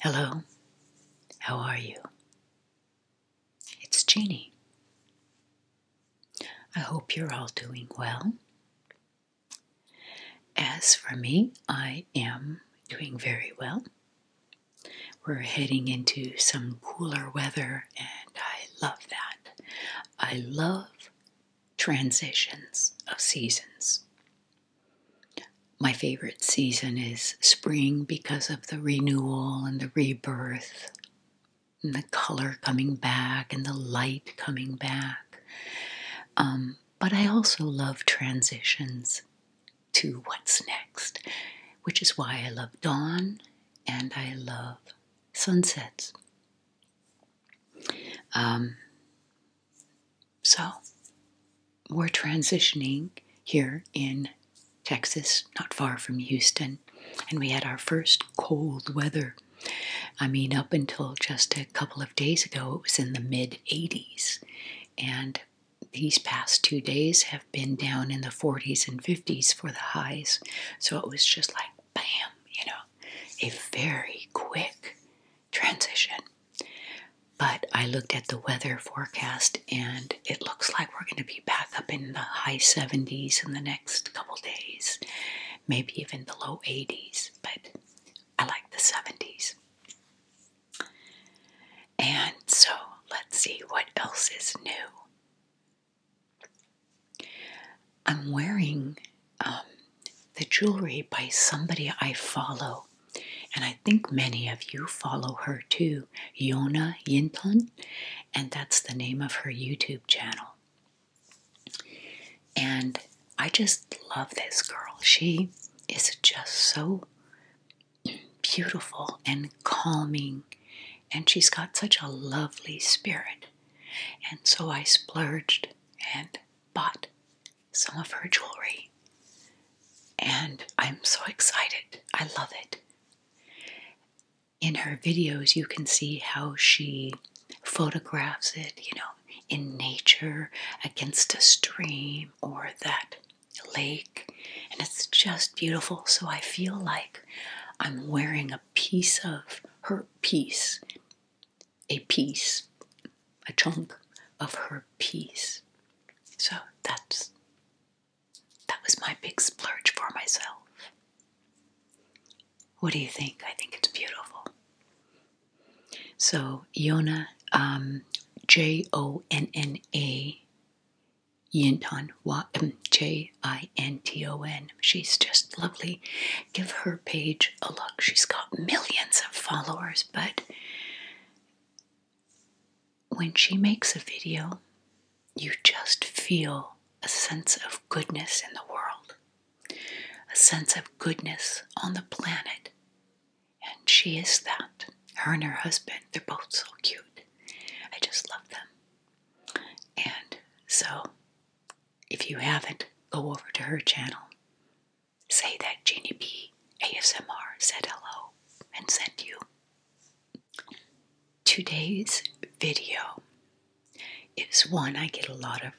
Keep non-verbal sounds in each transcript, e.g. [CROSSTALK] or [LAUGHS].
Hello, how are you? It's Jeannie. I hope you're all doing well. As for me, I am doing very well. We're heading into some cooler weather, and I love that. I love transitions of seasons. My favorite season is spring because of the renewal and the rebirth, and the color coming back and the light coming back. Um, but I also love transitions to what's next, which is why I love dawn and I love sunsets. Um, so, we're transitioning here in Texas, not far from Houston, and we had our first cold weather. I mean, up until just a couple of days ago, it was in the mid 80s, and these past two days have been down in the 40s and 50s for the highs. So it was just like, bam, you know, a very quick transition. But I looked at the weather forecast and it looks like we're going to be back up in the high 70s in the next couple days, maybe even the low 80s. But I like the 70s. And so let's see what else is new. I'm wearing um, the jewelry by somebody I follow, and I think many of you follow her too, Yona Yinton, and that's the name of her YouTube channel. And I just love this girl. She is just so beautiful and calming. And she's got such a lovely spirit. And so I splurged and bought some of her jewelry. And I'm so excited. I love it. In her videos, you can see how she photographs it, you know, in nature against a stream or that lake, and it's just beautiful. So I feel like I'm wearing a piece of her piece, a piece, a chunk of her piece. So that's that was my big splurge for myself. What do you think? I think it's beautiful. So Yona, um, J O N N A Yinton, J I N T O N. She's just lovely. Give her page a look. She's got millions of followers, but when she makes a video, you just feel a sense of goodness in the world, a sense of goodness on the planet. And she is that. Her and her husband, they're both so cute. I just love them. And so, if you haven't, go over to her channel. Say that Jeannie B ASMR said hello and sent you. Today's video is one I get a lot of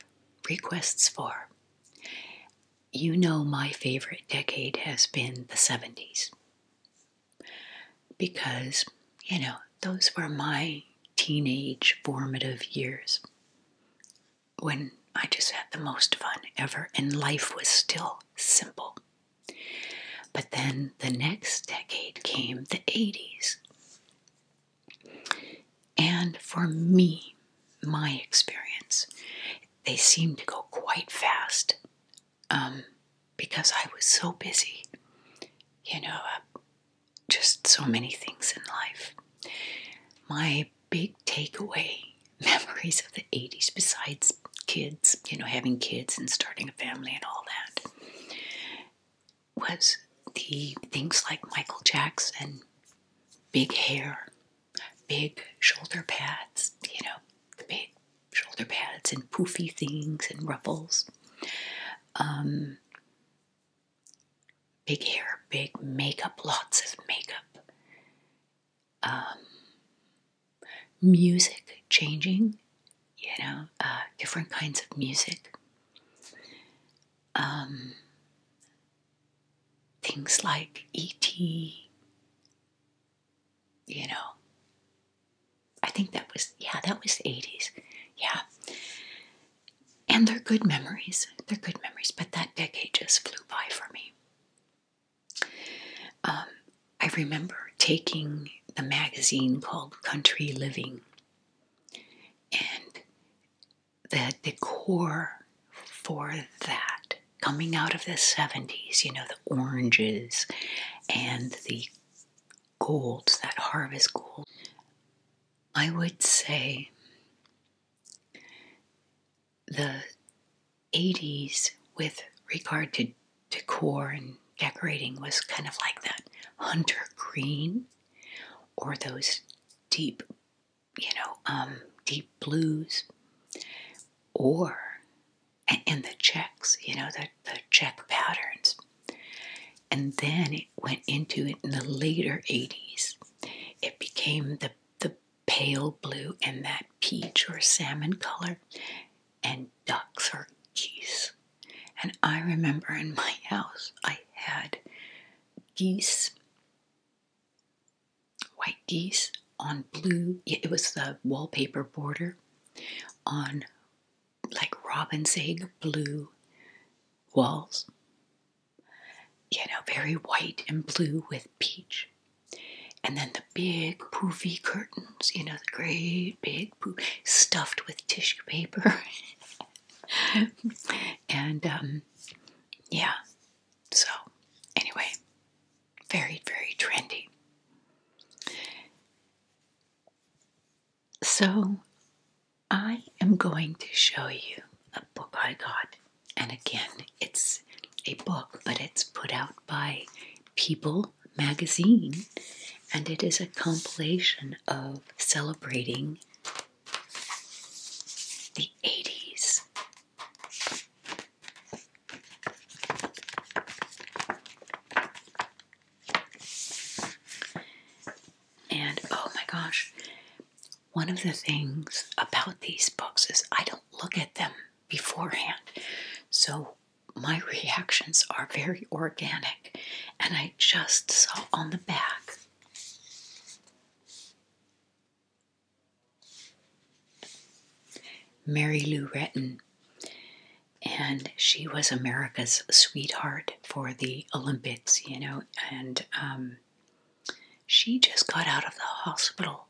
requests for. You know my favorite decade has been the 70s because, you know, those were my teenage formative years when I just had the most fun ever and life was still simple. But then the next decade came the 80s. And for me, my experience, they seemed to go quite fast um, because I was so busy. You know, uh, just so many things in life. My big takeaway [LAUGHS] memories of the 80s, besides kids, you know, having kids and starting a family and all that, was the things like Michael Jackson, big hair, big shoulder pads, you know, the big shoulder pads and poofy things and ruffles. Um, big hair, big makeup, lots of makeup. Um, music changing, you know, uh, different kinds of music. Um, things like E.T., you know, I think that was, yeah, that was the 80s. Yeah. And they're good memories. They're good memories, but that decade just flew by for me. Um, I remember taking the magazine called Country Living, and the decor for that coming out of the 70s, you know, the oranges and the golds, that harvest gold, I would say the 80s with regard to decor and decorating was kind of like that hunter green or those deep, you know, um, deep blues or and, the checks, you know, the, the check patterns. And then it went into it in the later 80s. It became the, the pale blue and that peach or salmon color, and ducks or geese. And I remember in my house, I had geese, white geese, on blue, it was the wallpaper border on like robin's egg blue walls. You know, very white and blue with peach. And then the big poofy curtains, you know, the great big poof, stuffed with tissue paper. [LAUGHS] and um, yeah, so anyway, very, very trendy. So, I am going to show you a book I got. And again, it's a book, but it's put out by People magazine, and it is a compilation of celebrating the 80s. And oh my gosh, one of the things about these books is I don't look at them beforehand. So my reactions are very organic, and I just saw on the back Mary Lou Retton, and she was America's sweetheart for the Olympics, you know, and um, she just got out of the hospital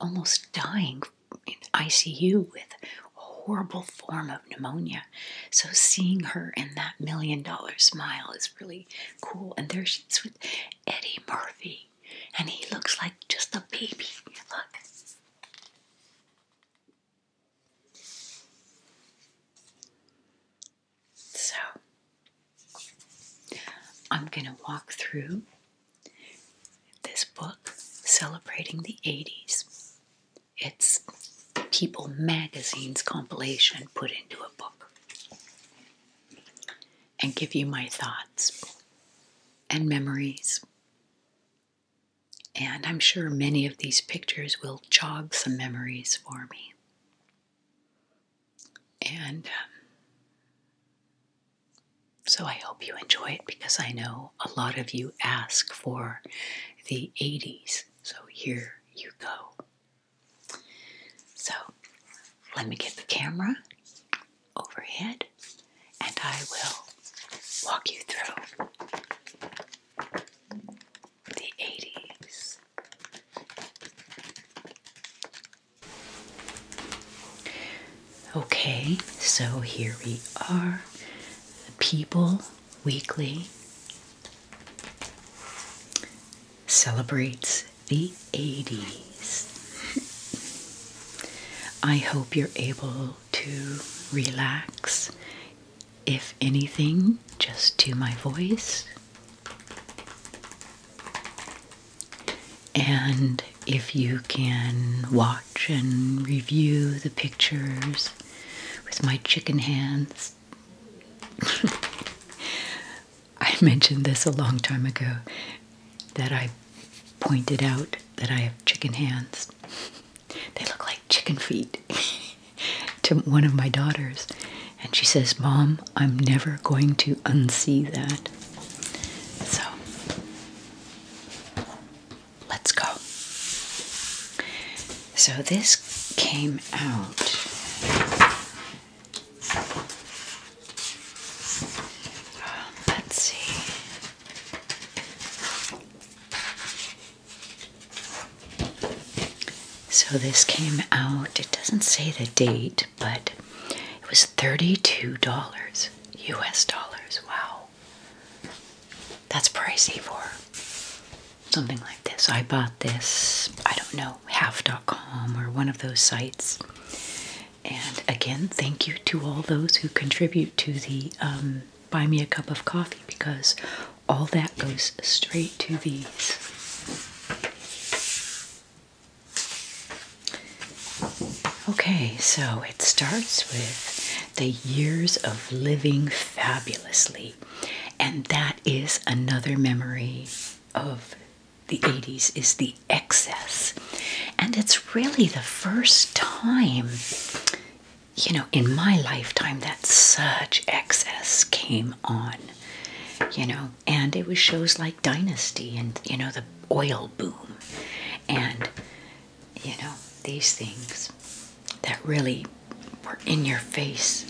almost dying in ICU with a horrible form of pneumonia. So seeing her in that million dollar smile is really cool. And there she's with Eddie Murphy, and he looks like just a baby. Look. So, I'm going to walk through this book celebrating the 80s. It's People Magazine's compilation put into a book. And give you my thoughts and memories and I'm sure many of these pictures will jog some memories for me. And um, so I hope you enjoy it because I know a lot of you ask for the 80s. So here you go. So let me get the camera overhead and I will walk you through the 80s. Okay, so here we are, People Weekly celebrates the 80s. I hope you're able to relax, if anything, just to my voice. And if you can watch and review the pictures with my chicken hands. [LAUGHS] I mentioned this a long time ago that I pointed out that I have chicken hands. [LAUGHS] They look like chicken feet [LAUGHS] to one of my daughters. And she says, Mom, I'm never going to unsee that. So, let's go. So, this came out. Uh, let's see. So this came out, it doesn't say the date, but it was $32 US dollars. Wow. That's pricey for something like this. I bought this, I don't know, half.com or one of those sites. And again, thank you to all those who contribute to the um, buy me a cup of coffee because all that goes straight to these. Okay, so it starts with the years of living fabulously, and that is another memory of the 80s is the excess and it's really the first time, you know, in my lifetime that such excess came on, you know. And it was shows like Dynasty and, you know, the oil boom and, you know, these things that really were in your face,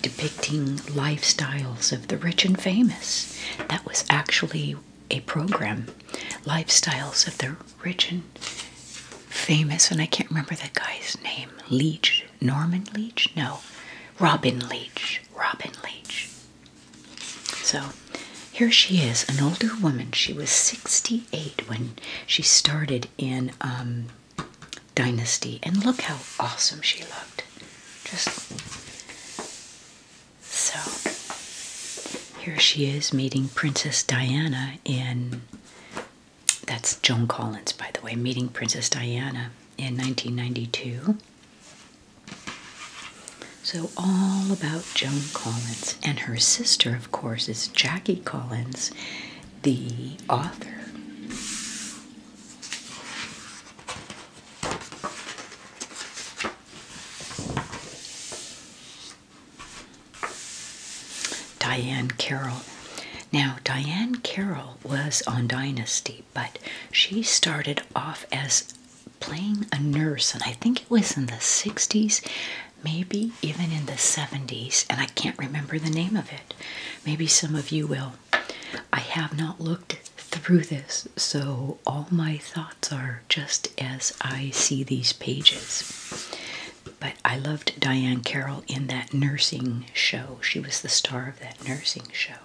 depicting lifestyles of the rich and famous. That was actually a program, Lifestyles of the Rich and Famous, and I can't remember that guy's name. Leach, Norman Leach? No, Robin Leach. Robin Leach. So here she is, an older woman. She was 68 when she started in um, Dynasty, and look how awesome she looked. Just so here she is meeting Princess Diana in. That's Joan Collins, by the way, meeting Princess Diana in 1992. So, all about Joan Collins. And her sister, of course, is Jackie Collins, the author. Diane Carroll. Now, Diane Carroll was on Dynasty, but she started off as playing a nurse, and I think it was in the 60s, maybe even in the 70s, and I can't remember the name of it. Maybe some of you will. I have not looked through this, so all my thoughts are just as I see these pages. But I loved Diane Carroll in that nursing show. She was the star of that nursing show.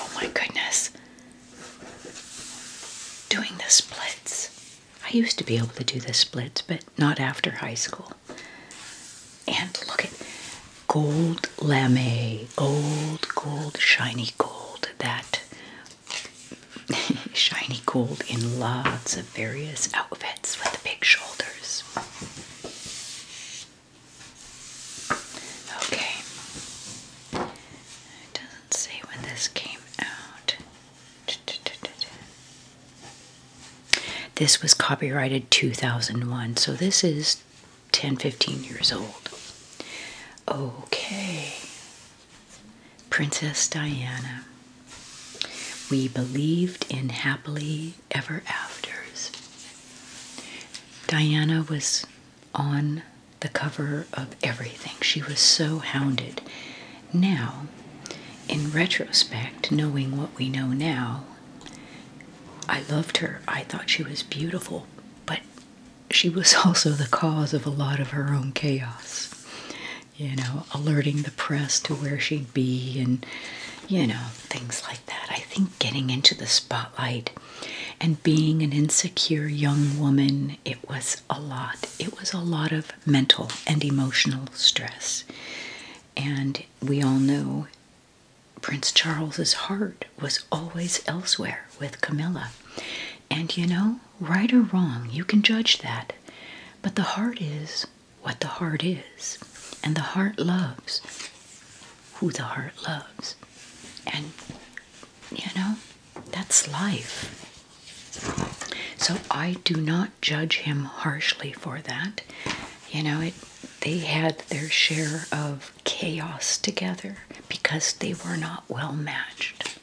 Oh my goodness. Doing the splits. I used to be able to do the splits, but not after high school. And look at gold lame, old gold, shiny gold. That [LAUGHS] shiny gold in lots of various outfits with the big shoulders. Okay. It doesn't say when this came out. This was copyrighted 2001, so this is was 10, 15 years old. Okay. Princess Diana. We believed in happily ever afters. Diana was on the cover of everything. She was so hounded. Now, in retrospect, knowing what we know now, I loved her. I thought she was beautiful, but she was [LAUGHS] also the cause of a lot of her own chaos. You know, alerting the press to where she'd be and, you know, things like that. I think getting into the spotlight and being an insecure young woman, it was a lot. It was a lot of mental and emotional stress. And we all know Prince Charles's heart was always elsewhere with Camilla. And you know, right or wrong, you can judge that. But the heart is what the heart is. And the heart loves who the heart loves. And, you know, that's life. So I do not judge him harshly for that. You know, it, they had their share of chaos together because they were not well matched.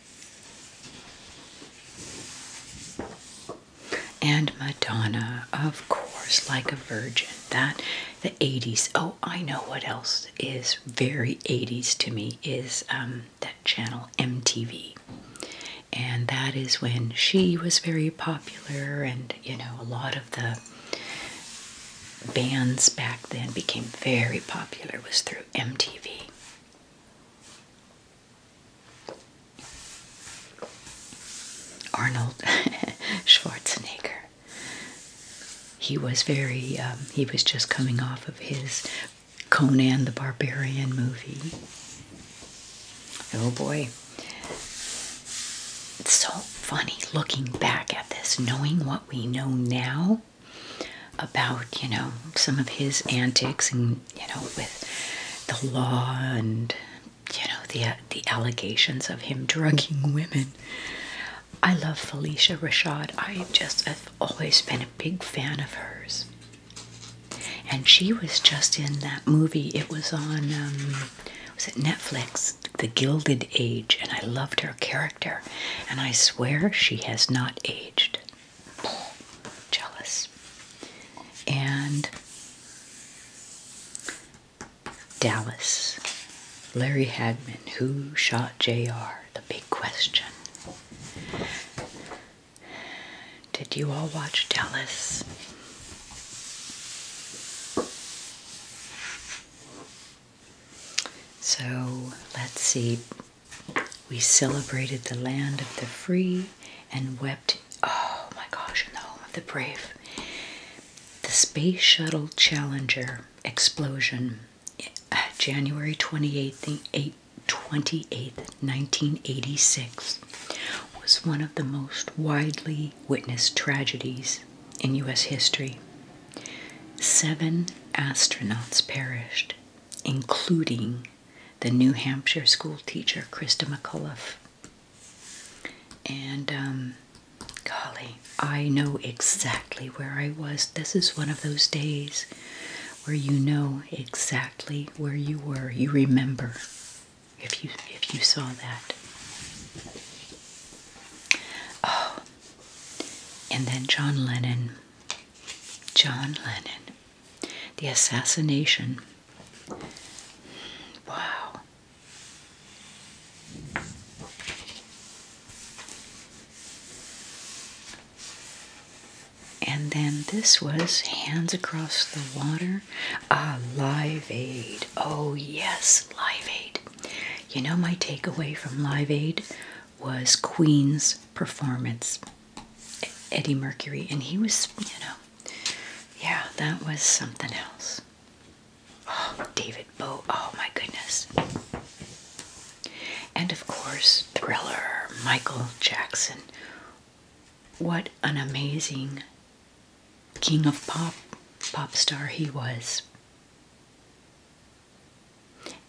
And Madonna, of course, like a virgin. That the 80s. Oh, I know what else is very 80s to me is um, that channel MTV. And that is when she was very popular, and you know, a lot of the bands back then became very popular was through MTV. Arnold [LAUGHS] Schwarzenegger. He was very, um, he was just coming off of his Conan the Barbarian movie. Oh boy. It's so funny looking back at this, knowing what we know now about, you know, some of his antics and, you know, with the law and, you know, the, uh, the allegations of him drugging women. I love Felicia Rashad. I just have always been a big fan of hers. And she was just in that movie. It was on um, was it Netflix, The Gilded Age, and I loved her character. And I swear she has not aged. [SIGHS] jealous. And Dallas, Larry Hagman, who shot JR? The big question. Did you all watch Dallas? So let's see. We celebrated the land of the free and wept, oh my gosh, in the home of the brave. The Space Shuttle Challenger explosion, uh, January 28th, 28th 1986, was one of the most widely witnessed tragedies in U.S. history. Seven astronauts perished, including the New Hampshire school teacher Krista McAuliffe. And um, golly, I know exactly where I was. This is one of those days where you know exactly where you were. You remember if you if you saw that. Oh, and then John Lennon. John Lennon. The assassination. Wow. And then this was Hands Across the Water, a live aid. Oh, yes, Live Aid. You know, my takeaway from Live Aid was Queen's performance, Eddie Mercury, and he was, you know, yeah, that was something else. Oh, David Bowie. Oh, my goodness. And of course, Thriller, Michael Jackson. What an amazing king of pop, pop star he was.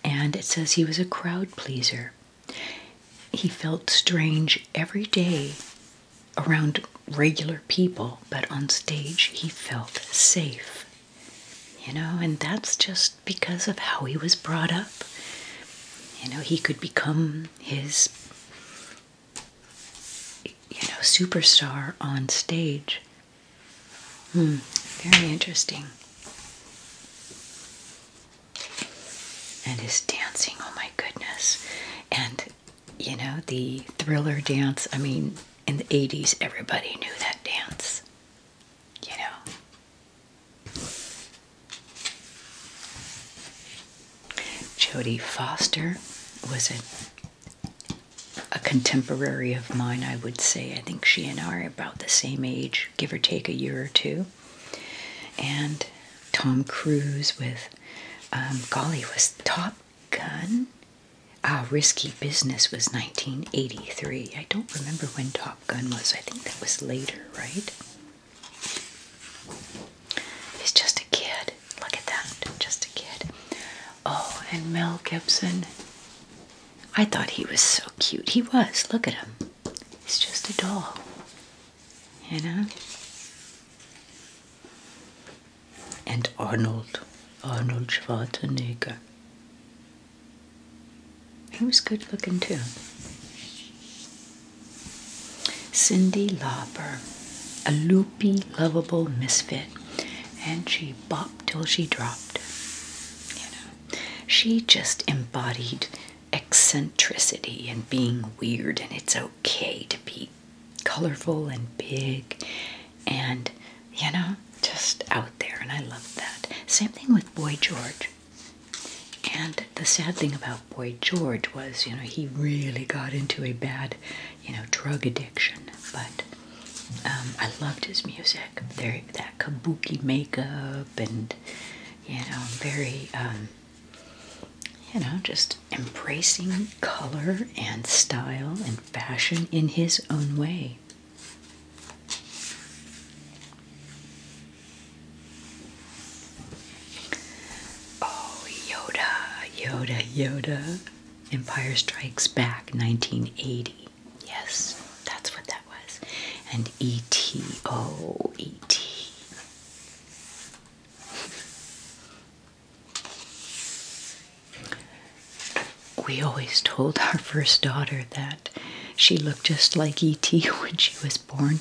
And it says he was a crowd pleaser. He felt strange every day around regular people, but on stage he felt safe. You know, and that's just because of how he was brought up. You know, he could become his you know, superstar on stage Hmm, very interesting. And his dancing, oh my goodness. And you know, the thriller dance, I mean, in the 80s, everybody knew that dance, you know. Jodie Foster was it a contemporary of mine, I would say. I think she and I are about the same age, give or take a year or two. And Tom Cruise with, um, golly, was Top Gun? Ah, Risky Business was 1983. I don't remember when Top Gun was. I think that was later, right? He's just a kid. Look at that. Just kid. Oh, and Mel Gibson. I thought he was so cute. He was. Look at him. He's just a doll. You know? And Arnold. Arnold Schwarzenegger. He was good looking too. Cindy Lauper, a loopy, lovable misfit, and she she bopped till she dropped. You know, she just embodied eccentricity and being weird, and it's okay to be colorful and big and you know just out there and i love that same thing with boy george and the sad thing about boy george was you know he really got into a bad you know, drug addiction. But um, I loved his music. There, that kabuki makeup, and you know, very, um, you know, just embracing color and style and fashion in his own way. Oh, Yoda, Yoda, Yoda. Empire Strikes Back 1980. Yes, that's what that was. And E T O E T. We always told our first daughter that she looked just like E.T. [LAUGHS] when she was born.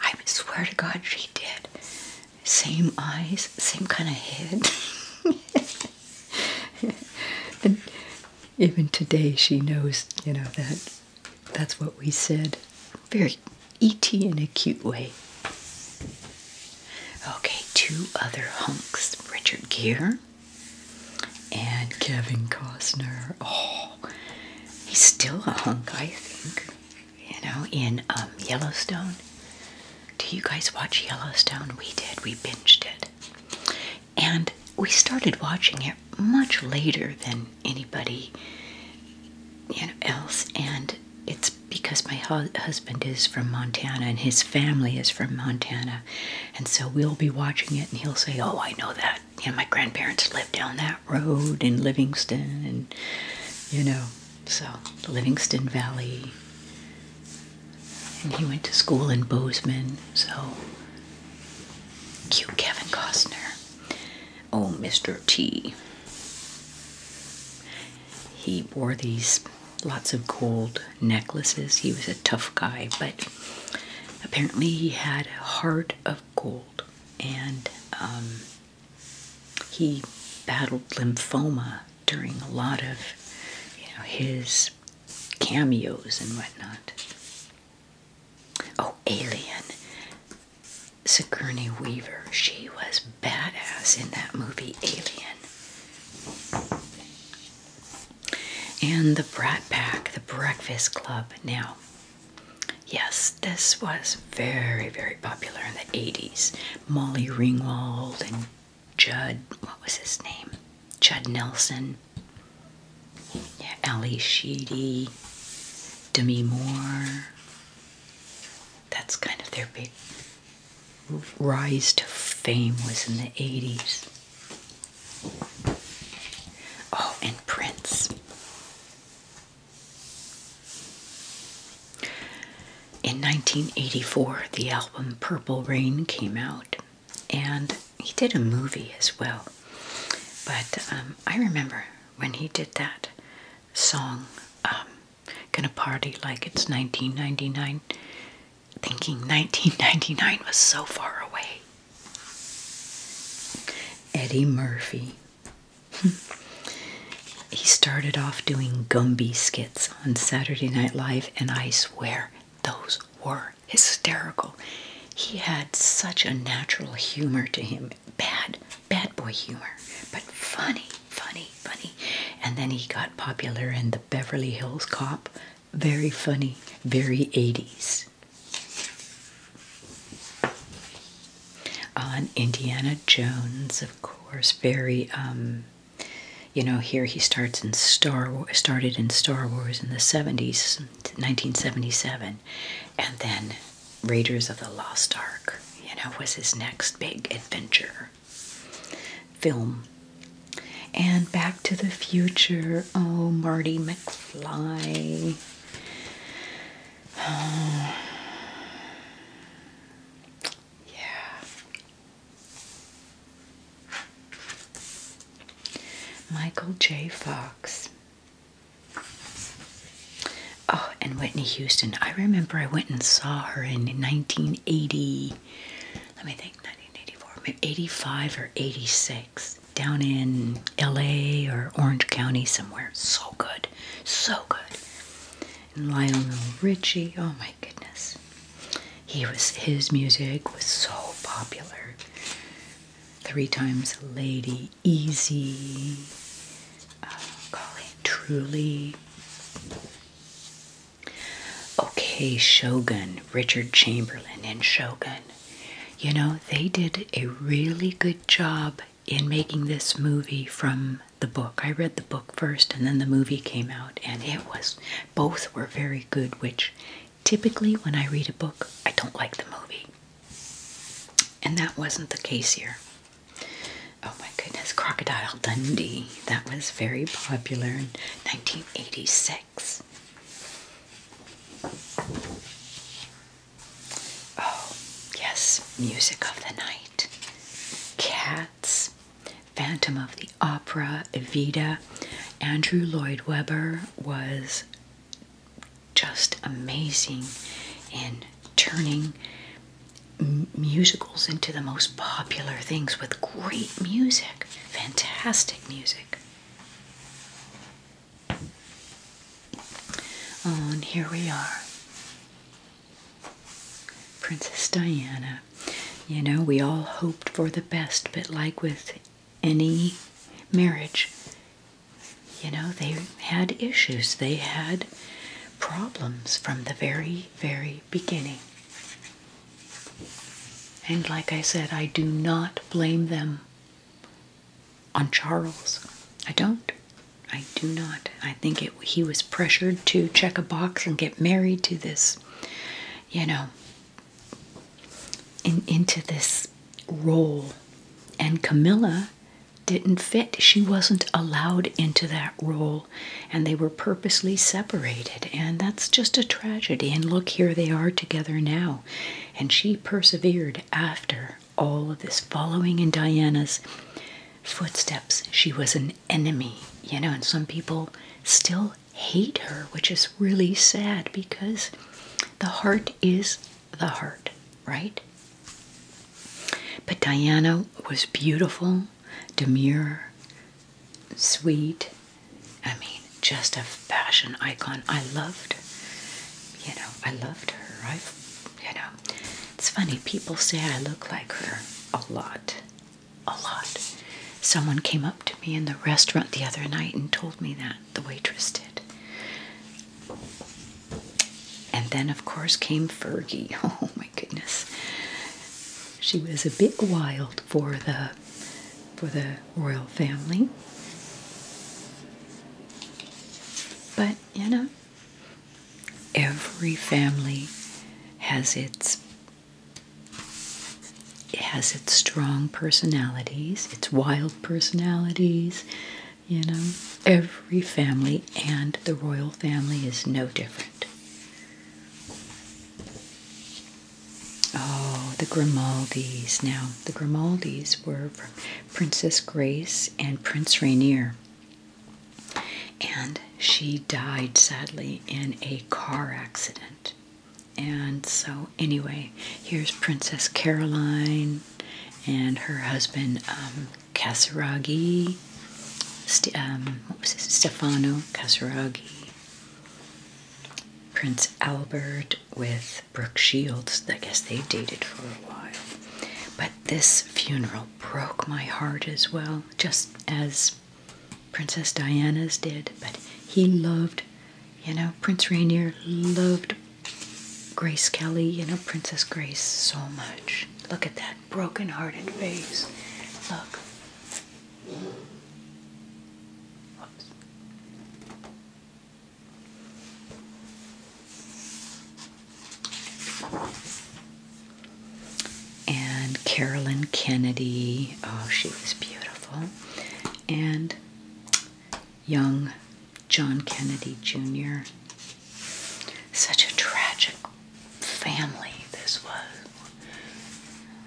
I swear to God, she did. Same eyes, same kind of head. [LAUGHS] [LAUGHS] and even today she knows, you know, that that's what we said. Very E.T. in a cute way. Okay, two other hunks Richard Gere and Kevin Costner. Oh, he's still a hunk, I think. You know, in um, Yellowstone. Do you guys watch Yellowstone? We did. We binged it. And we started watching it much later than anybody else. And it's because my husband is from Montana and his family is from Montana. And so we'll be watching it and he'll say, Oh, I know that. You know, my grandparents lived down that road in Livingston and, you know, so, the Livingston Valley. And he went to school in Bozeman. So, cute Kevin Costner. Oh, Mr. T. He wore these lots of gold necklaces. He was a tough guy, but apparently he had a heart of gold and um, he battled lymphoma during a lot of you know his cameos and whatnot. Oh, Alien. Sigourney Weaver, she was badass in that movie Alien. And the Brat Pack, the Breakfast Club. Now, yes, this was very, very popular in the 80s. Molly Ringwald and Judd, what was his name? Judd Nelson, yeah, Ali Sheedy, Demi Moore. That's kind of their big rise to fame was in the 80s. Oh, and Prince. In 1984, the album Purple Rain came out, and he did a movie as well. But um, I remember when he did that song, um, Gonna Party Like It's 1999, thinking 1999 was so far away. Eddie Murphy. [LAUGHS] he started off doing Gumby skits on Saturday Night Live, and I swear those were hysterical. He had such a natural humor to him bad, bad boy humor, but funny, funny, funny. And then he got popular in the Beverly Hills Cop. Very funny, very 80s. On Indiana Jones, of course, very um, you know, here he starts in Star started in Star Wars in the 70s, 1977, and then Raiders of the Lost Ark, you know, was his next big adventure film. And Back to the Future, oh, Marty McFly. Yeah. Michael J. Fox. Oh, and Whitney Houston. I remember I went and saw her in 1980. Let me think, 1984, 85 or 86, down in LA or Orange County somewhere. So good, so good. And Lionel Richie. Oh my my goodness. He was his music was so popular. Three times lady, easy, uh, golly, truly. Okay, Shogun, Richard Chamberlain and Shogun. You know, they did a really good job in making this movie from the book. I read the book first and then the movie came out and it was both were very good, which typically when I read a book, I don't like the movie. And that wasn't the case here. Oh my goodness, Crocodile Dundee. That was very popular in 1986. Oh, yes, Music of the Night. Cat Phantom of the Opera, Evita. Andrew Lloyd Webber was just amazing in turning musicals into the most popular things with great music, fantastic music. and here we are. Princess Diana. You know, we all hoped for the best, but like with any marriage, you know, they had issues. They had problems from the very, very beginning. And like I said, I do not blame them on Charles. I don't. I do not. I think he was pressured to check a box and get married to this you know, into this role. And Camilla didn't fit. She wasn't allowed into that role, and they were purposely separated. And that's just a tragedy. And look, here they are together now. And she persevered after all of this, following in Diana's footsteps. She was an enemy, you know, and some people still hate her, which is really sad because the heart is the heart, right? But Diana was beautiful, demure, sweet. I mean, just a fashion icon. I loved, you know, I loved her. I, have you know, it's funny, people say I look like her a lot a lot. Someone came up to me in the restaurant the other night and told me that, the waitress did. And then, of course, came Fergie. [LAUGHS] Oh my goodness. She was a bit wild for the for the royal family. But, you know, every family has its it has its strong personalities, its wild personalities. You know, every family and the royal family is no different. Oh, the Grimaldis. Now, the Grimaldis were Princess Grace and Prince Rainier and she died sadly in a car accident. And so, anyway, here's Princess Caroline and her husband um, um what was it? Stefano Casaraghi, Prince Albert with Brooke Shields. I guess they dated for a while. But this funeral broke my heart as well, just as Princess Diana's did, but he loved, you know, Prince Rainier loved Grace Kelly, you know, Princess Grace so much. Look at that broken-hearted face. Look. Whoops and Carolyn Kennedy. Oh, she was beautiful. And young John Kennedy Jr. Such a tragic family this was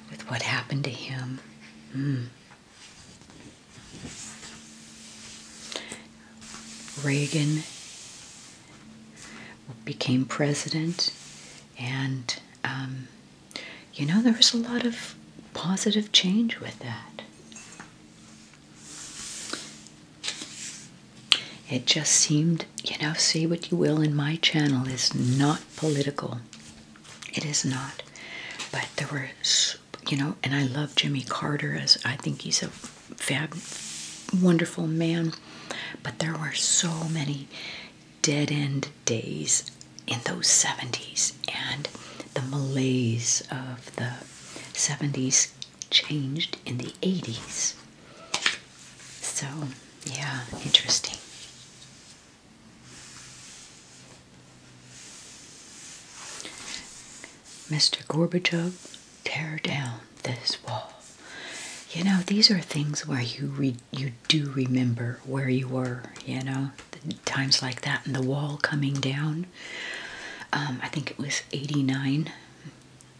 with what happened to him. Mm. Reagan became president, and um, you know, there was a lot of positive change with that. It just seemed, you know, say what you will, in my channel is not political. It is not. But there were, you know, and I love Jimmy Carter as I think he's a fab, wonderful man. But there were so many dead end days in those 70s and the malaise of the 70s changed in the 80s. So, yeah, interesting. Mr. Gorbachev, tear down this wall. You know, these are things where you read you do remember where you were you know times like that and the wall coming down um, i think it was 89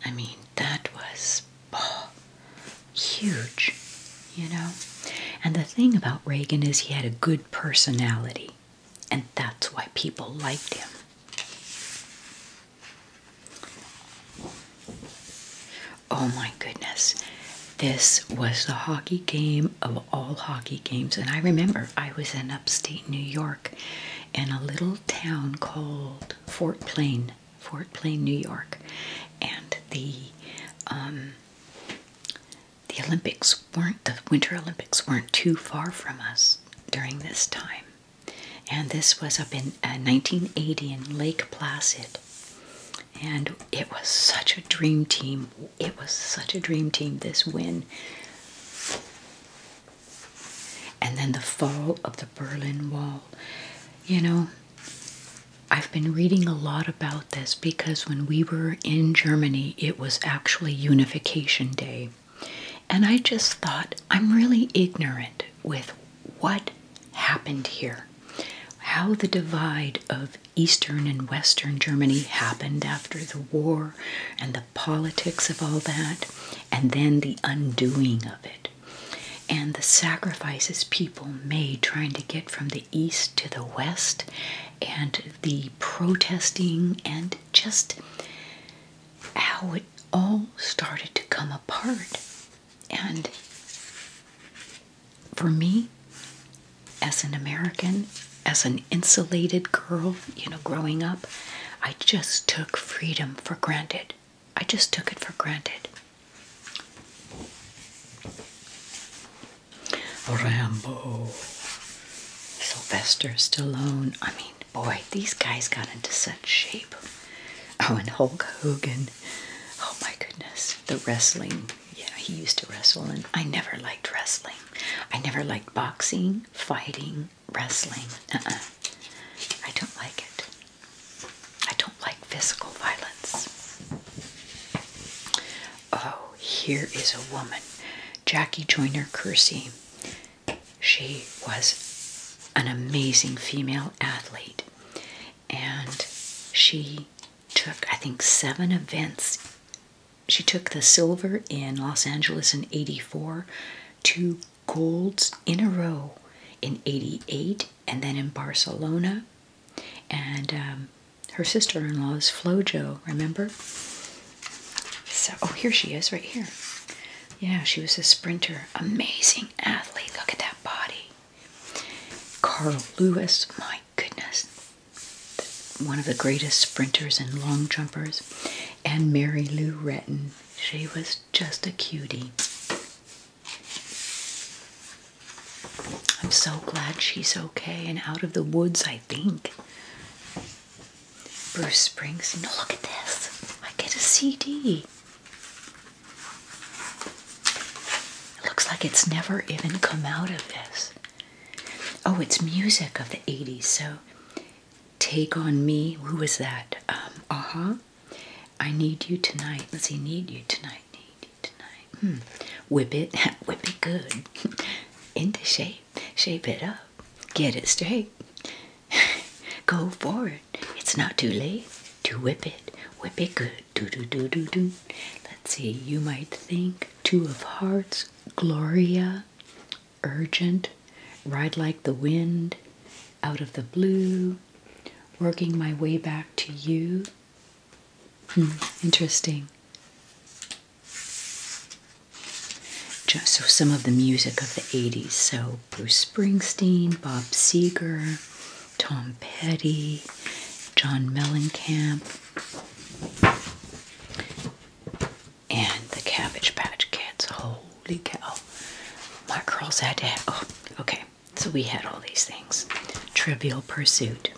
i mean that was oh, huge you know and the thing about reagan is he had a good personality and that's why people liked him Oh my goodness. This was the hockey game of all hockey games. And I remember I was in upstate New York in a little town called Fort Plain, Fort Plain, New York. And the um, the Olympics weren't the Winter Olympics weren't too far from us during this time. And this was up in 1980 uh, in Lake Placid. And it was such a dream team. It was such a dream team, this win. And then the fall of the Berlin Wall. You know, I've been reading a lot about this because when we were in Germany, it was actually Unification Day. And I just thought, I'm really ignorant with what happened here, how the divide of Eastern and Western Germany happened after the war, and the politics of all that, and then the undoing of it, and the sacrifices people made trying to get from the East to the West, and the protesting, and just how it all started to come apart. And for me, as an American, as an insulated girl, you know, growing up, I just took freedom for granted. I just took it for granted. Rambo, Sylvester Stallone. I mean, boy, these guys got into such shape. Oh, and Hulk Hogan oh my goodness, the wrestling. Yeah, he used to wrestle, and I never liked wrestling. I never liked boxing, fighting, wrestling. Uh-uh. I don't like it. I don't like physical violence. Oh, here is a woman, Jackie Joyner Kersee. She was an amazing female athlete and she took, I think, seven events. She took the silver in Los Angeles in 84, two golds in a row in 88, and then in Barcelona. And um, her sister in law is Flojo, remember? So, oh, here she is right here. Yeah, she was a sprinter. Amazing athlete. Look at that body. Carl Lewis, my goodness, one of the greatest sprinters and long jumpers, and Mary Lou Retton. She was just a cutie. I'm so glad she's okay and out of the woods, I think. Bruce Springsteen. Look at this. I get a CD. It looks like it's never even come out of this. Oh, it's music of the 80s. So, Take on Me. Who was that? Um, uh huh. I Need You Tonight. Does he Need You Tonight. Need You Tonight. Hmm. Whip it. [LAUGHS] Whip it good. [LAUGHS] Into shape. Shape it up. Get it straight. [LAUGHS] Go for it. It's not too late to whip it. Whip it good. Do do do do do. Let's see, you might think Two of Hearts, Gloria, Urgent, Ride Like the Wind, Out of the Blue, Working My Way Back to You. Hmm, interesting. Just, so some of the music of the 80s. So Bruce Springsteen, Bob Seger, Tom Petty, John Mellencamp, and the Cabbage Patch Kids. Holy cow. My girls had to have, oh, okay. So we had all these things. Trivial Pursuit.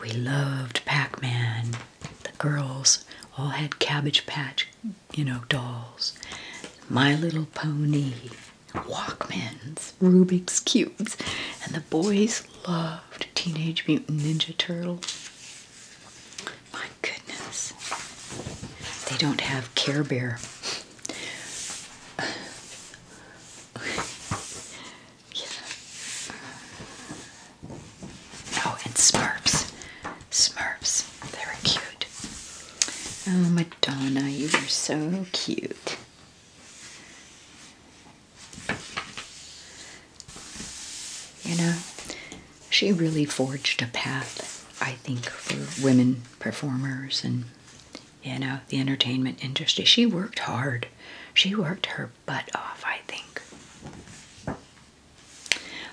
We loved Pac-Man. The girls all had Cabbage Patch, you know, dolls. My Little Pony. Walkmans, Rubik's Cubes, and the boys loved Teenage Mutant Ninja Turtle. My goodness. They don't have Care Bear. Oh, and Smurfs. Smurfs. They were cute. Oh, Madonna, you are so cute. You know, she really forged a path, I think, for women performers and, you know, the entertainment industry. She worked hard. She worked her butt off, I think.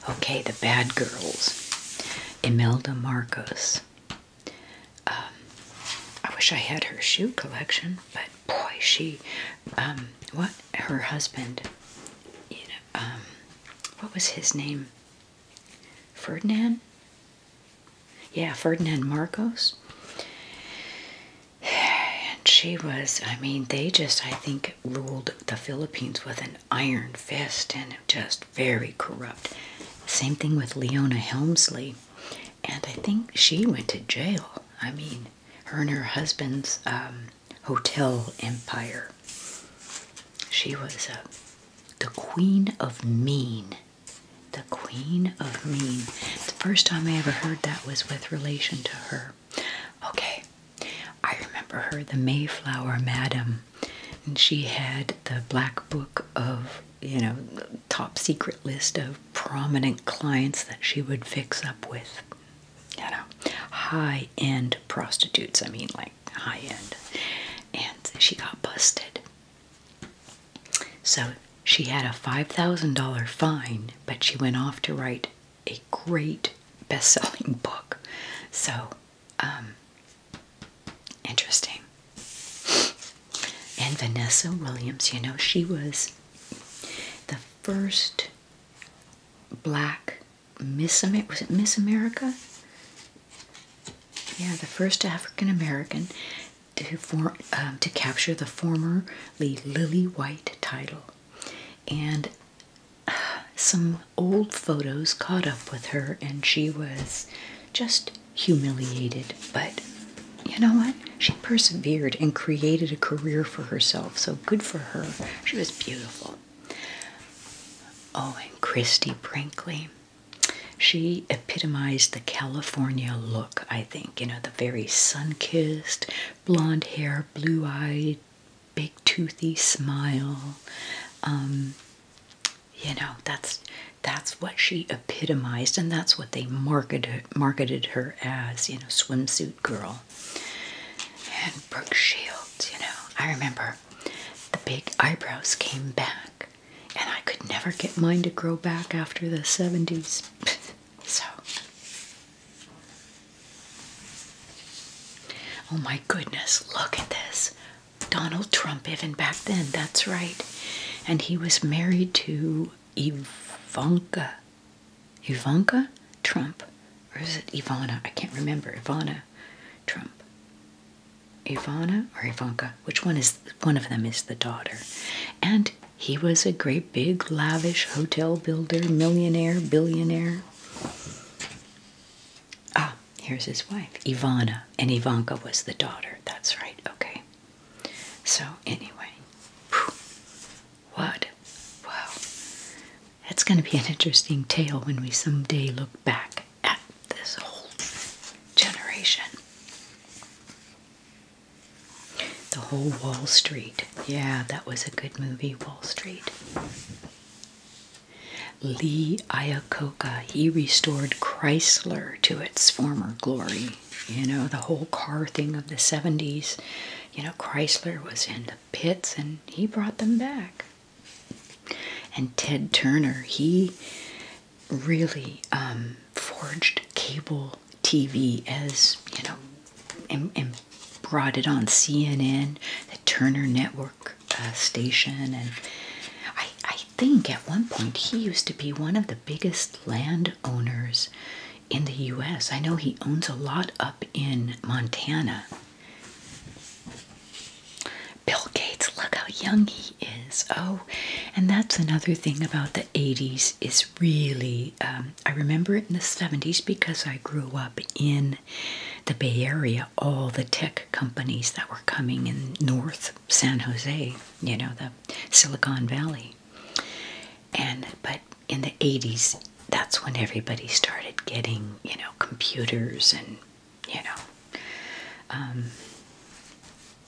Okay, the bad girls. Imelda Marcos. Um, I wish I had her shoe collection, but boy, she, um, what her husband, you know, um, what was his name? Ferdinand? Yeah, Ferdinand Marcos. And she was, I mean, they just, I think, ruled the Philippines with an iron fist and just very corrupt. Same thing with Leona Helmsley. And I think she went to jail. I mean, her and her husband's um, hotel empire. She was uh, the queen of mean. The queen of mean. The first time I ever heard that was with relation to her. Okay, I remember her, the Mayflower Madam. And she had the black book of you know, top secret list of prominent clients that she would fix up with. You know, high end prostitutes. I mean, like high end. And she got busted. So she had a $5,000 fine, but she went off to write a great best selling [LAUGHS] book. So, um, interesting. And Vanessa Williams, you know, she was the first black Miss America. Was it Miss America? Yeah, the first African American to um, to capture the formerly lily white title, and uh, some old photos caught up with her, and she was just humiliated, but you know what? She persevered and created a career for herself, so good for her. She was beautiful. Oh, and Christy Brinkley. She epitomized the California look, I think. You know, the very sun kissed, blonde hair, blue eyed, big toothy smile. Um, you know, that's that's what she epitomized and that's what they marketed marketed her as, you know, swimsuit girl. And Brooke Shields, you know, I remember the big eyebrows came back and I could never get mine to grow back after the 70s. [LAUGHS] so Oh my goodness, look at this. Donald Trump, even back then, that's right. And he was married to Ivanka. Ivanka Trump. Or is it Ivana? I can't remember. Ivana Trump. Ivana or Ivanka? Which one is one of them is the daughter. And he was a great big lavish hotel builder, millionaire, billionaire. Ah, here's his wife, Ivana, and Ivanka was the daughter. That's right. Okay. So anyway, what? Wow. That's going to be an interesting tale when we someday look back at this whole generation. The whole Wall Street. Yeah, that was a good movie, Wall Street. Lee Iacocca, he restored Chrysler to its former glory. You know, the whole car thing of the 70s. You know, Chrysler was in the pits and he brought them back. And Ted Turner, he really um, forged cable TV as, you know, and, brought it on CNN, the Turner Network uh, station. And I think at one point he used to be one of the biggest land owners in the US. I know he owns a lot up in Montana. Bill Gates, look how young he is. Oh, and that's another thing about the 80s is really, um, I remember it in the 70s because I grew up in the Bay Area, all the tech companies that were coming in north San Jose, you know, the Silicon Valley. And but in the 80s, that's when everybody started getting, you know, computers and, you know, um,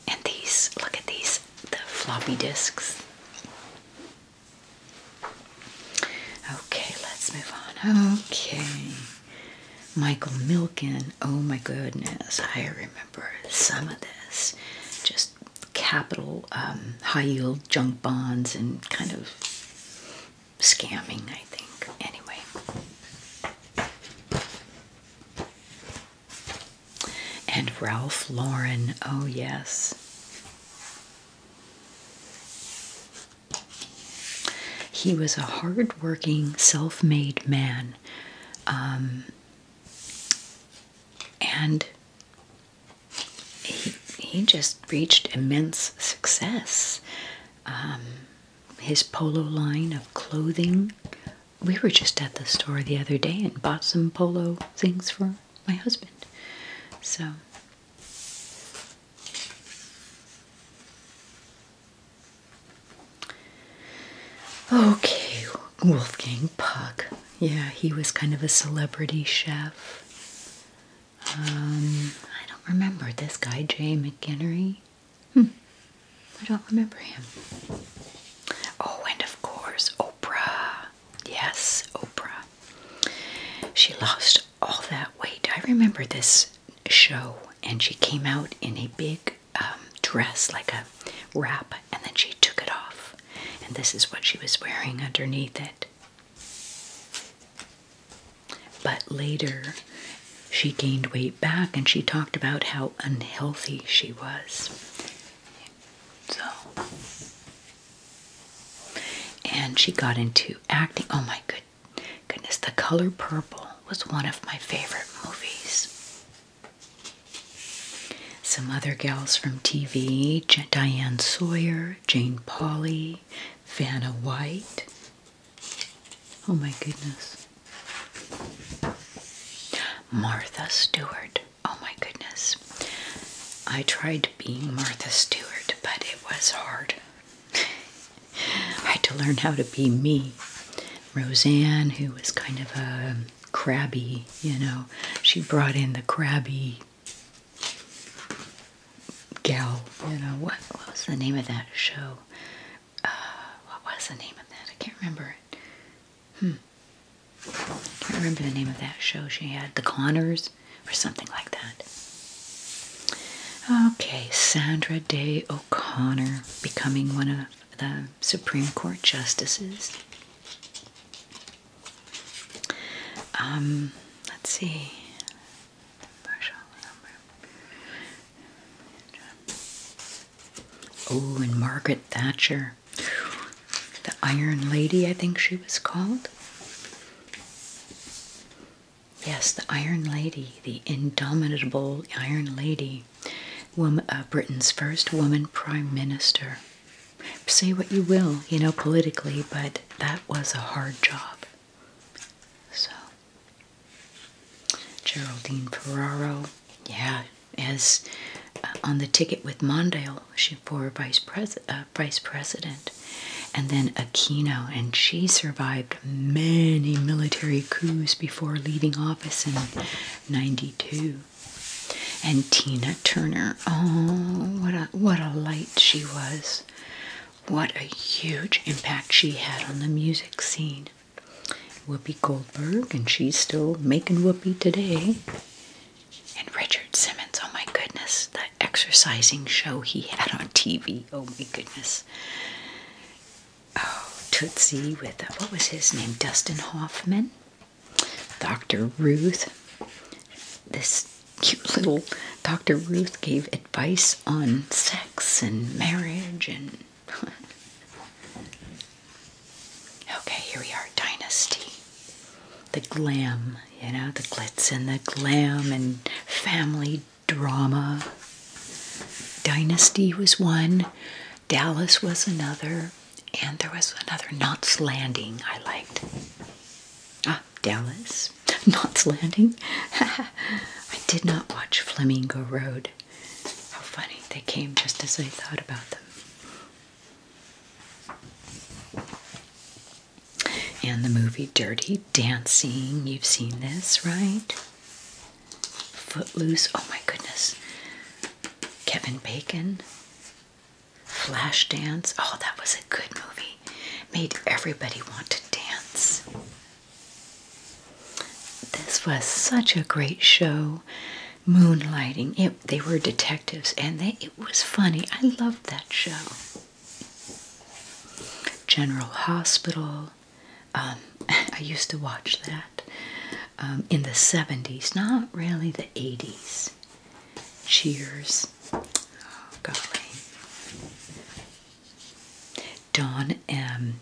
and these, look at these, the floppy disks. Okay, let's move on. Okay. Michael Milken. Oh my goodness, I remember remember some of this just capital um, high yield junk bonds and kind of scamming, I think. Anyway, and Ralph Lauren, oh, yes. He was a hard working, self made man. Um, and he, he just reached immense success. Um, his polo line of clothing. We were just at the store the other day and bought some polo things for my husband. So, Okay, Wolfgang Puck. Yeah, he was kind of a celebrity chef. Um, I don't remember this guy, Jay McGinery. Hmm. I don't remember him. Oh, and of course, Oprah. Yes, Oprah. She lost all that weight. I remember this show, and she came out in a big um, dress, like a wrap, and then she took it off. And this is what she was wearing underneath it. But later, she gained weight back and she talked about how unhealthy she was. So, and she got into acting. Oh my good, goodness, The Color Purple was one of my favorite movies. Some other gals from TV Diane Sawyer, Jane Pauley, Vanna White. Oh my goodness. Martha Stewart. Oh my goodness. I tried being Martha Stewart, but it was hard. [LAUGHS] I had to learn how to be me. Roseanne, who was kind of a crabby, you know. She brought in the crabby gal, you know. What, was the name of that show? Uh, what was the name of that? I can't remember it. Hmm. can't remember the name of that show she had. The Connors or something like that. Okay, Sandra Day O'Connor becoming one of the Supreme Court justices. Um, let's see. Oh, and Margaret Thatcher, the Iron Lady, I think she was called. Yes, the Iron Lady, the indomitable Iron Lady. Uh, Britain's first woman prime minister. Say what you will, you know, politically, but that was a hard job. So, Geraldine Ferraro, yeah, as uh, on the ticket with Mondale, for vice, pres uh, vice president. And then Aquino, and she survived many military coups before leaving office in 92. And Tina Turner. Oh, what a what a light she was. What a huge impact she had on the music scene. Whoopi Goldberg, and she's still making Whoopi today. And Richard Simmons, oh my goodness, that exercising show he had on TV, oh my goodness. Oh, Tootsie with, uh, what was his name, Dustin Hoffman? Dr. Ruth. This cute little Dr. Ruth gave advice on sex and marriage and. [LAUGHS] okay, here we are Dynasty. The glam, you know, the glitz and the glam and family drama. Dynasty was one, Dallas was another and there was another Knots Landing I liked. Ah, Dallas, [LAUGHS] Knots Landing. [LAUGHS] I did not watch Flamingo Road. How funny! They came just as I thought about them. And the movie Dirty Dancing. You've seen this, right? Footloose. Oh my goodness. Kevin Bacon. Flashdance. Oh, that was a good movie. Made everybody want to dance. This was such a great show. Moonlighting. they were detectives and it was funny. I loved that show. General Hospital. Um, [LAUGHS] I used to watch that. Um, in the 70s, not really the 80s. Cheers. Oh, golly. Don um,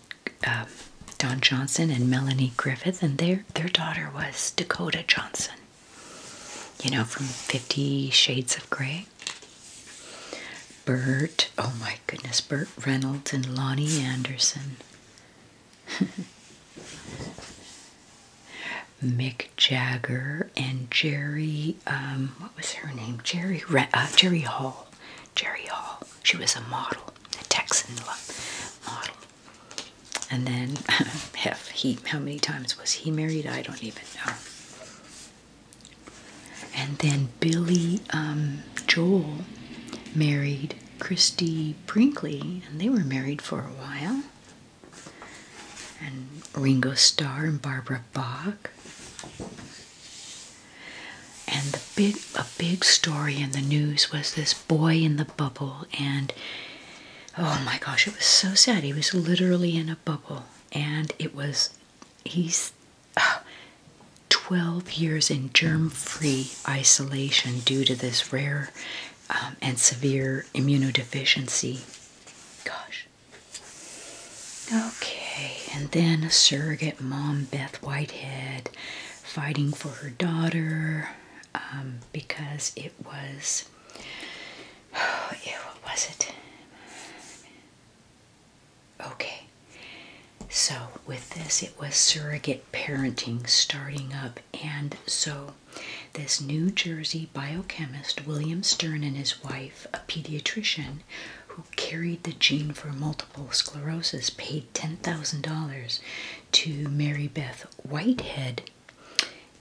Don Johnson and Melanie Griffith, and their their daughter was Dakota Johnson. You know, from Fifty Shades of Grey. Burt, oh my goodness, Burt Reynolds and Lonnie Anderson. [LAUGHS] Mick Jagger and Jerry, um, what was her name? Jerry, uh, Jerry Hall. Jerry Hall. She was a model, a Texan model. And then, [LAUGHS] heff, he, how many times was he married? I don't even know. And then Billy um, Joel married Christy Brinkley, and they were married for a while. And Ringo Starr and Barbara Bach. And the big a big story in the news was this boy in the bubble and oh my gosh, it was so sad. He was literally in a bubble and it was he's ah, 12 years in germ-free isolation due to this rare um, and severe immunodeficiency. Gosh. Okay, and then surrogate mom Beth Whitehead fighting for her daughter um, because it was. [SIGHS] yeah, what was it? Okay, so with this, it was surrogate parenting starting up, and so this New Jersey biochemist, William Stern, and his wife, a pediatrician who carried the gene for multiple sclerosis, paid $10,000 to Mary Beth Whitehead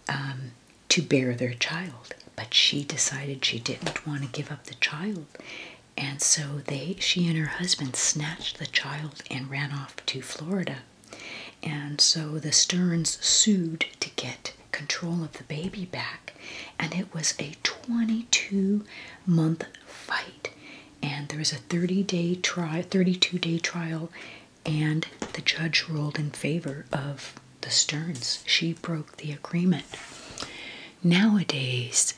um, to bear their child. But she decided she didn't want to give up the child. And so they, she and her husband snatched the child and ran off to Florida and so the Stearns sued to get control of the baby back, and it was a 22 month fight. And there was a 30 day trial, 32 day trial, and the judge ruled in favor of the Stearns. She broke the agreement. Nowadays,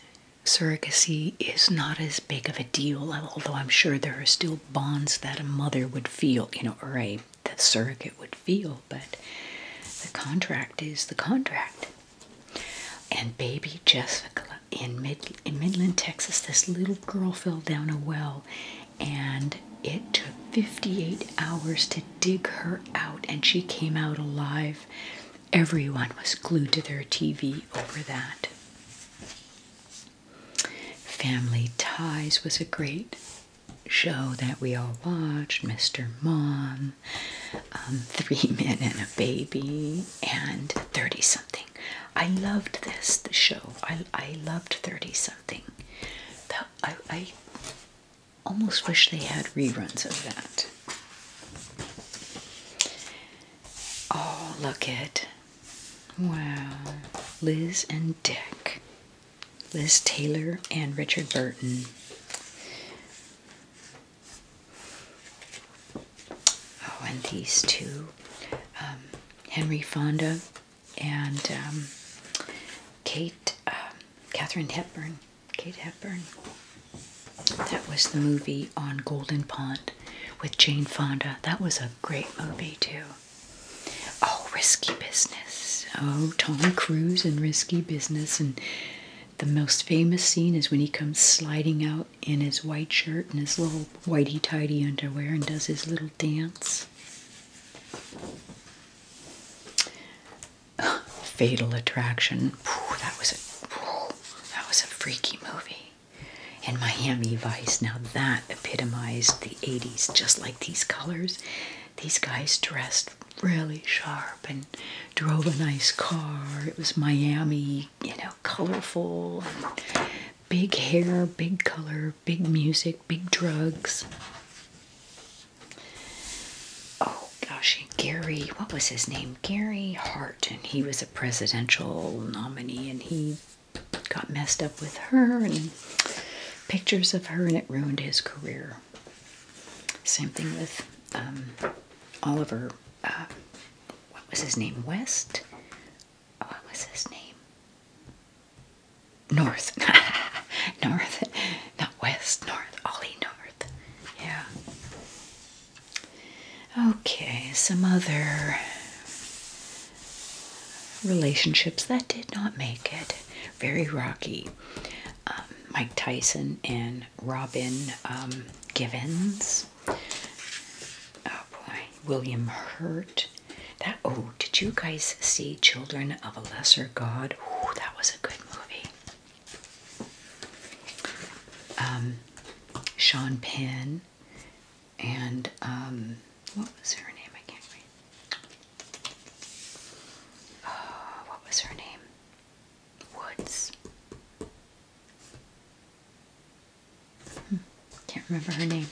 surrogacy is not as big of a deal, although I'm sure there are still bonds that a mother would feel, you know, or a surrogate would feel, but the contract is the contract. And baby Jessica in mid in Midland, Texas, this little girl fell down a well and it took 58 hours to dig her out and she came out alive. Everyone was glued to their TV over that. Family Ties was a great show that we all watched. Mr. Mom, um, [LAUGHS] Three Men and a Baby, and 30 Something. I loved this, the show. I, I loved 30 Something. I, I almost wish they had reruns of that. Oh, look at Wow. Liz and Dick. Liz Taylor and Richard Burton. Oh, and these two um, Henry Fonda and um, Kate, um, Catherine Hepburn. Kate Hepburn. That was the movie on Golden Pond with Jane Fonda. That was a great movie, too. Oh, risky business. Oh, Tom Cruise and risky business. And the most famous scene is when he comes sliding out in his white shirt and his little whitey tidy underwear and does his little dance. [GASPS] Fatal Attraction. that was a that was a freaky movie and Miami Vice. Now that epitomized the 80s, just like these colors. These guys dressed really sharp and drove a nice car. It was Miami, you know, colorful, big hair, big color, big music, big drugs. Oh gosh, Gary, what was his name? Gary Hart, and he was a presidential nominee, and he got messed up with her and pictures of her, and it ruined his career. Same thing with um, Oliver. Uh, what was his name? West? What was his name? North. [LAUGHS] north. Not West. North. Ollie North. Yeah. Okay, some other relationships that did not make it. Very rocky. Um, Mike Tyson and Robin um, Givens. Oh boy, William Hurt. That oh, did you guys see Children of a Lesser God? Oh, that was a good movie. Um, Sean Penn, and um, what was her name? I can't read. Uh, what was her name? Woods. Hmm, can't remember her name.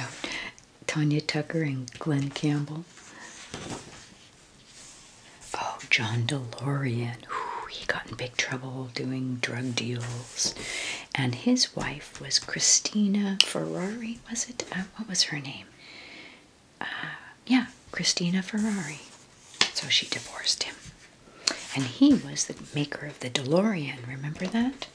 Oh, Tanya Tucker and Glenn Campbell. Oh, John DeLorean. Ooh, he got big trouble doing drug deals. And his wife was Christina Ferrari, was it? Uh, what was her name? Uh, yeah, Christina Ferrari. So she divorced him. And he was the maker of the DeLorean, remember that?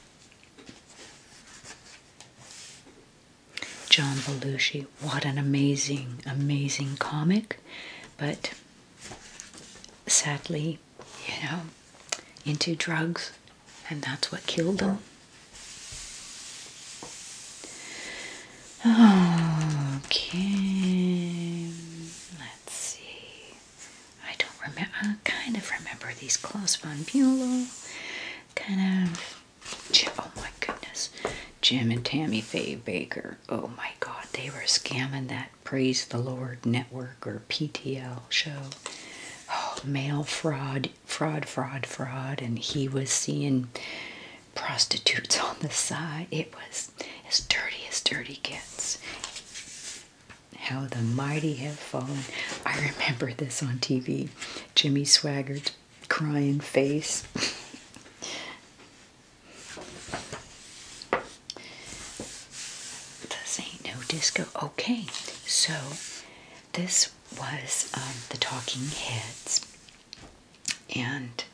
John Belushi, what an amazing, amazing comic. But sadly, you know, into drugs, and that's what killed them. Okay, let's see. I don't remember. I kind of remember these Klaus von Bülow. Kind of. Oh my goodness, Jim and Tammy Faye Baker. Oh my God, they were scamming that Praise the Lord Network or PTL show. Oh, mail fraud, fraud, fraud, fraud, and he was seeing prostitutes [LAUGHS] on the side. It was as dirty as dirty gets. How the mighty have fallen. I remember this on TV. Jimmy Swaggart's crying face. [LAUGHS] This ain't no disco. Okay, so this was um, the Talking Heads and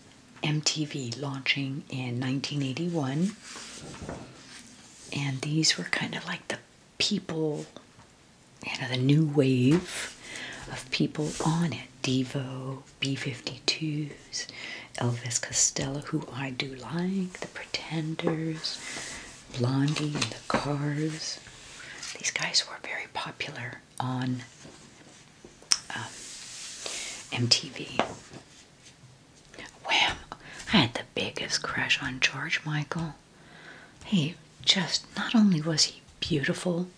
MTV launching in 1981. And these were kind of like the people, you know, the new wave of people on it. Devo, B 52s, Elvis Costello, who I do like, the Pretenders, Blondie, and The Cars. These guys were very popular on MTV. Um, Wham! I had the biggest crush on George Michael. He just, not only was he beautiful,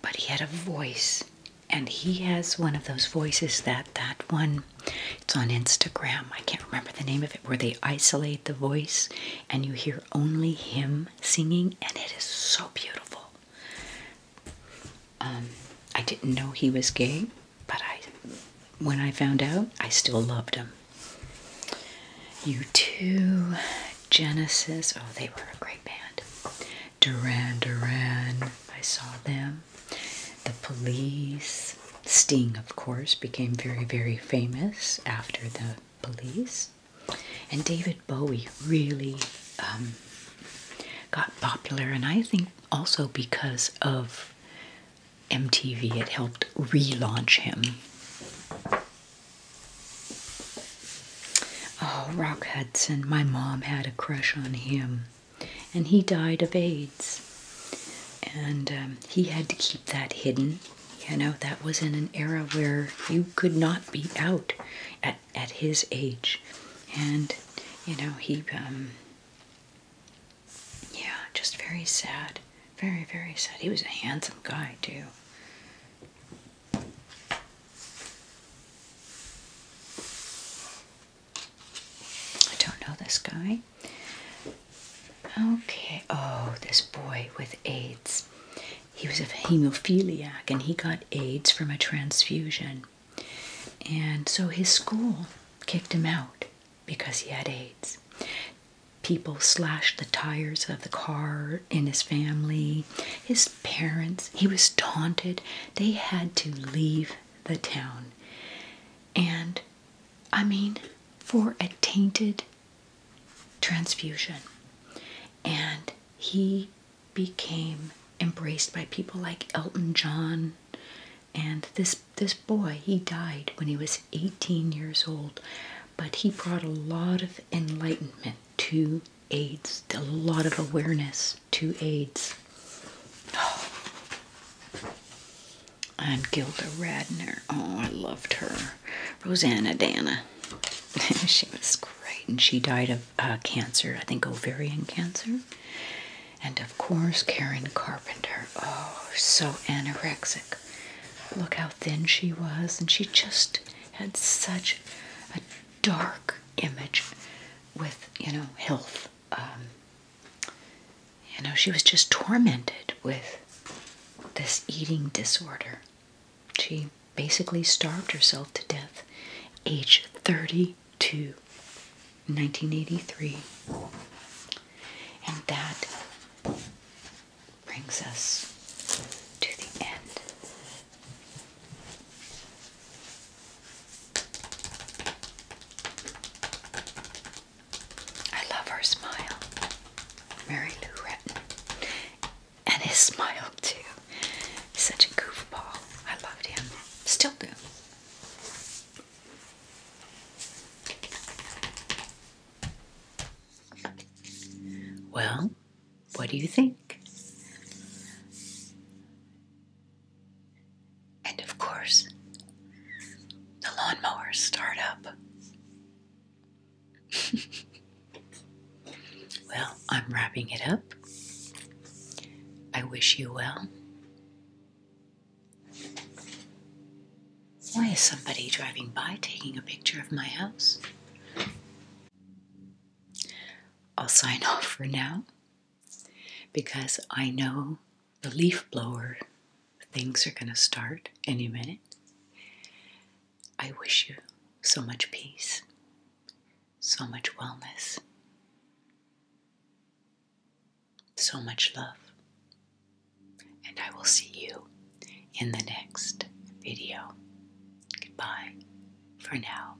but he had a voice. And he has one of those voices that that one it's on Instagram. I can't remember the name of it, where they isolate the voice and you hear only him singing, and it is so beautiful. Um, I didn't know he was gay, but I, when I found out, I still loved him. You too, Genesis. Oh, they were a great band. Duran Duran. I saw them the police. Sting, of course, became very, very famous after the police. And David Bowie really um, got popular, and I think also because of MTV, it helped relaunch him. Oh, Rock Hudson, my mom had a crush on him and he died of AIDS. And um, he had to keep that hidden. You know, that was in an era where you could not be out at, at his age. And, you know, he, um, yeah, just very sad. Very, very sad. He was a handsome guy, too. I don't know this guy. Okay, oh, this boy with AIDS. He was a hemophiliac and he got AIDS from a transfusion. And so his school kicked him out because he had AIDS. People slashed the tires of the car in his family, his parents. He was taunted. They had to leave the town. And I mean, for a tainted transfusion. And he became embraced by people like Elton John and this this boy he died when he was 18 years old but he brought a lot of enlightenment to AIDS a lot of awareness to AIDS and Gilda Radner. Oh, I loved her. Rosanna Dana. [LAUGHS] she was great, and she died of uh, cancer, I think ovarian cancer. And of course, Karen Carpenter. Oh, so anorexic. Look how thin she was, and she just had such a dark image with, you know, health. Um, you know, she was just tormented with this eating disorder. She basically starved herself to death, age 32, 1983. And that brings us to the end. I love her smile. Mary Lou Retton. And his smile too. He's such a goofball. I loved him. Still do. Well, what do you think? And of course, the lawnmowers start up. [LAUGHS] well, I'm wrapping it up. I wish you well. Why is somebody driving by taking a picture of my house? I'll sign [LAUGHS] off for now because I know the leaf blower things are going to start any minute. I wish you so much peace, so much wellness, so much love, and I will see you in the next video. Goodbye for now.